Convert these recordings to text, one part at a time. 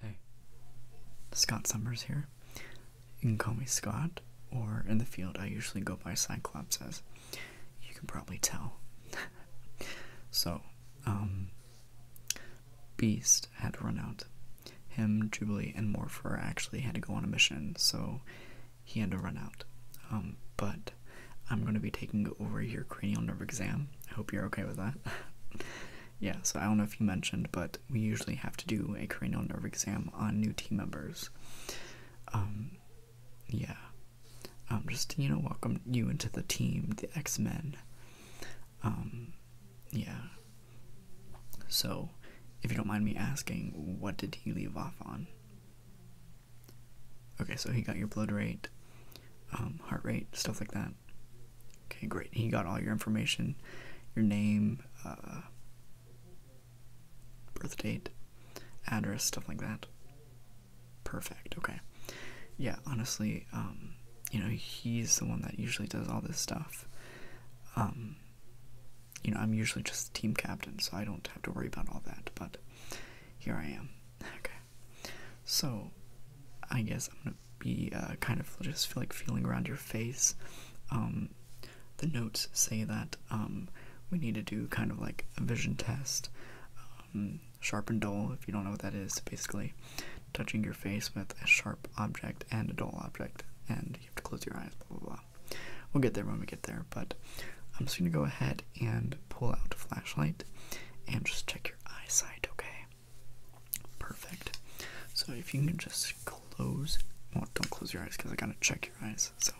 Hey, Scott Summers here. You can call me Scott, or in the field, I usually go by Cyclops, as you can probably tell. so, um, Beast had to run out. Him, Jubilee, and Morpher actually had to go on a mission, so he had to run out. Um, but I'm going to be taking over your cranial nerve exam. I hope you're okay with that. yeah, so I don't know if you mentioned, but we usually have to do a cranial nerve exam on new team members. Um, yeah. Um, just, you know, welcome you into the team, the X-Men. yeah. So, if you don't mind me asking, what did he leave off on? Okay, so he got your blood rate, um, heart rate, stuff like that. Okay, great. He got all your information, your name, uh, birth date, address, stuff like that. Perfect. Okay. Yeah, honestly, um, you know, he's the one that usually does all this stuff. Um, you know, I'm usually just the team captain, so I don't have to worry about all that, but here I am. Okay. So, I guess I'm gonna be uh, kind of just feel like feeling around your face. Um, the notes say that um, we need to do kind of like a vision test, um, sharp and dull, if you don't know what that is, basically touching your face with a sharp object and a dull object, and you have to close your eyes, blah blah. We'll get there when we get there, but I'm just gonna go ahead and pull out a flashlight and just check your eyesight, okay? Perfect. So if you can just close, well, don't close your eyes because I gotta check your eyes. So,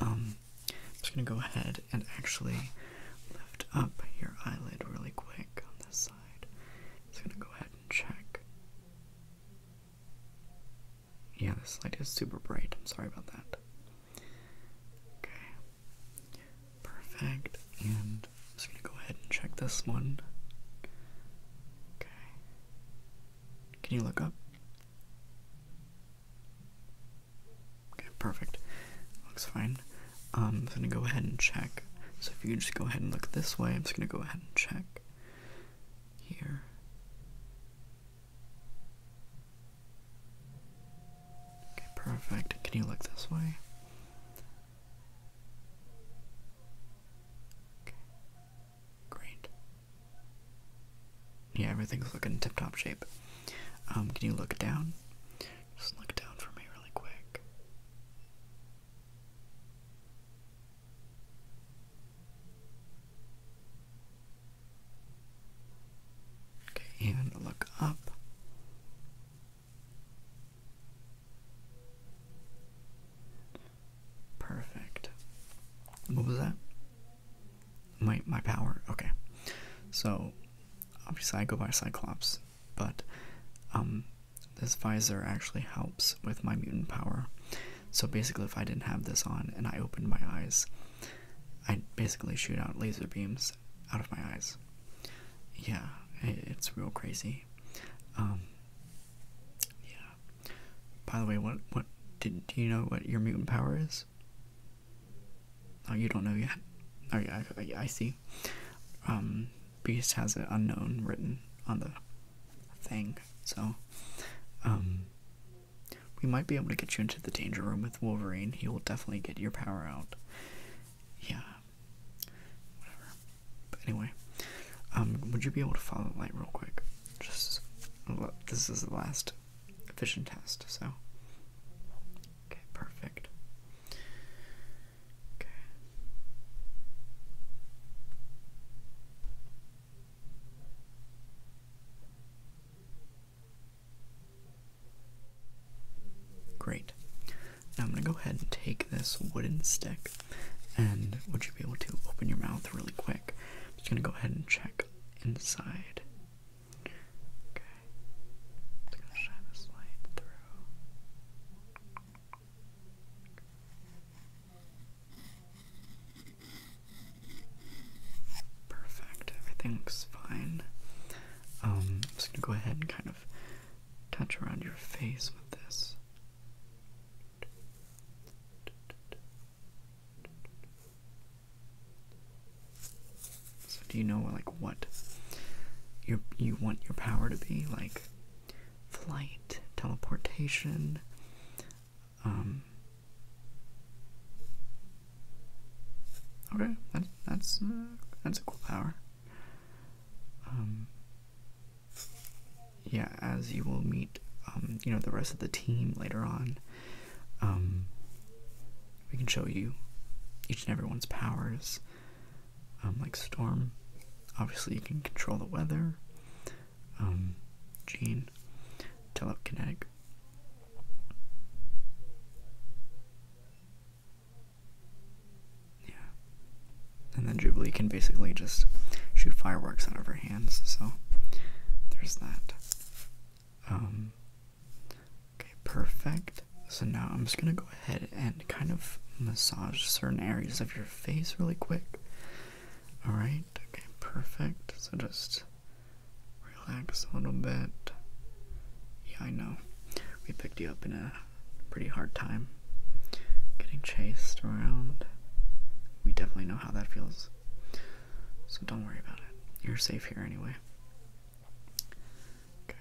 um, I'm just gonna go ahead and actually lift up your eyelid really quick on this side. Just gonna go ahead and check. Yeah, this light is super bright. I'm sorry about that. Okay. Perfect. And I'm just gonna go ahead and check this one. Okay. Can you look up? Okay, perfect. Looks fine. Um, I'm just gonna go ahead and check. So if you just go ahead and look this way, I'm just gonna go ahead and check here. Okay, perfect. Can you look this way? Okay. Great. Yeah, everything's looking tip top shape. Um, can you look down? Just look down for me really quick. Okay, and look up. Perfect. What was that? My my power. Okay. So obviously I go by Cyclops, but um this visor actually helps with my mutant power. So basically, if I didn't have this on and I opened my eyes, i basically shoot out laser beams out of my eyes. Yeah, it's real crazy. Um, yeah. By the way, what what did do you know what your mutant power is? Oh, you don't know yet. Oh yeah, I, see. Um, Beast has an unknown written on the thing. So, um, we might be able to get you into the danger room with Wolverine. He will definitely get your power out. Yeah. But anyway, um, would you be able to follow the light real quick? Just, this is the last vision test, so. Okay, perfect. Great. Now I'm going to go ahead and take this wooden stick, and would you be able to open your mouth really quick? I'm just going to go ahead and check inside. Okay. Perfect, everything's fine. Um, I'm just gonna go ahead and kind of touch around your face with this. So do you know like what you you want your power to be like? flight, teleportation, um, okay, that, that's, uh, that's a cool power, um, yeah, as you will meet, um, you know, the rest of the team later on, we can show you each and everyone's powers, um, like storm. Obviously, you can control the weather. Um, gene, telekinetic. Yeah. And then Jubilee can basically just shoot fireworks out of her hands, so there's that. Um, okay, perfect. So now I'm just gonna go ahead and kind of massage certain areas of your face really quick. Alright, okay, perfect. So just relax a little bit. Yeah, I know. We picked you up in a pretty hard time. Getting chased around. We definitely know how that feels. So don't worry about it. You're safe here anyway. Okay.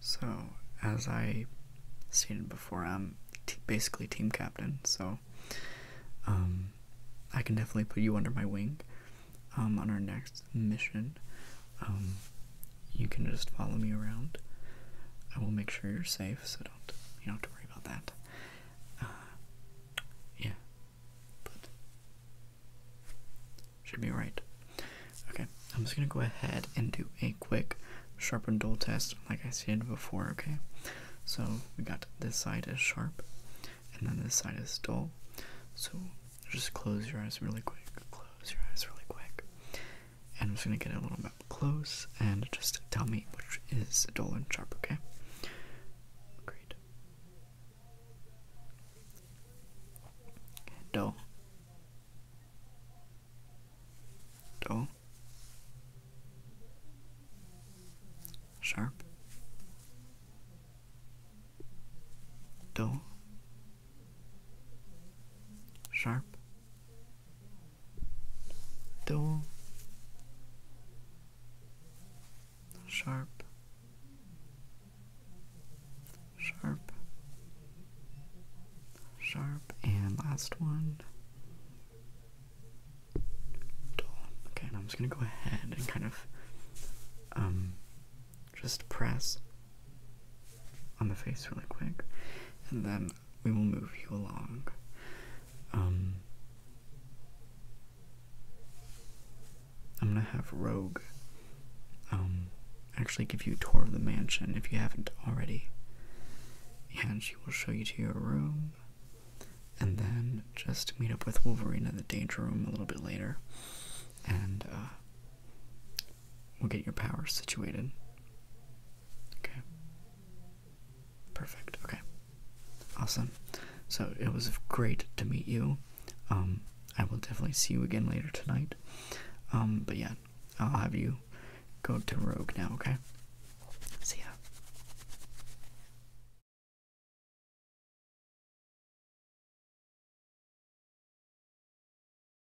So, as I stated before, I'm basically team captain, so um, I can definitely put you under my wing um, on our next mission. Um, you can just follow me around. I will make sure you're safe so don't you don't have to worry about that. Uh, yeah, but should be right. Okay, I'm just gonna go ahead and do a quick sharp and dull test, like I said before. Okay, so we got this side is sharp, and then this side is dull. So just close your eyes really quick. Close your eyes really quick. And I'm just gonna get a little bit close and just tell me which is dull and sharp, okay? Great. Okay, dull. Sharp. Dull. Sharp dull, sharp, sharp, sharp, and last one. Dull. Okay, now I'm just gonna go ahead and kind of um just press on the face really quick and then we will move you along. Um, I'm gonna have Rogue um, actually give you a tour of the mansion if you haven't already. And she will show you to your room. And then just meet up with Wolverine in the danger room a little bit later. And uh, we'll get your powers situated. Okay. Perfect. Okay. Awesome. So it was great to meet you. Um, I will definitely see you again later tonight. Um, but yeah, I'll have you go to Rogue now, okay? See ya.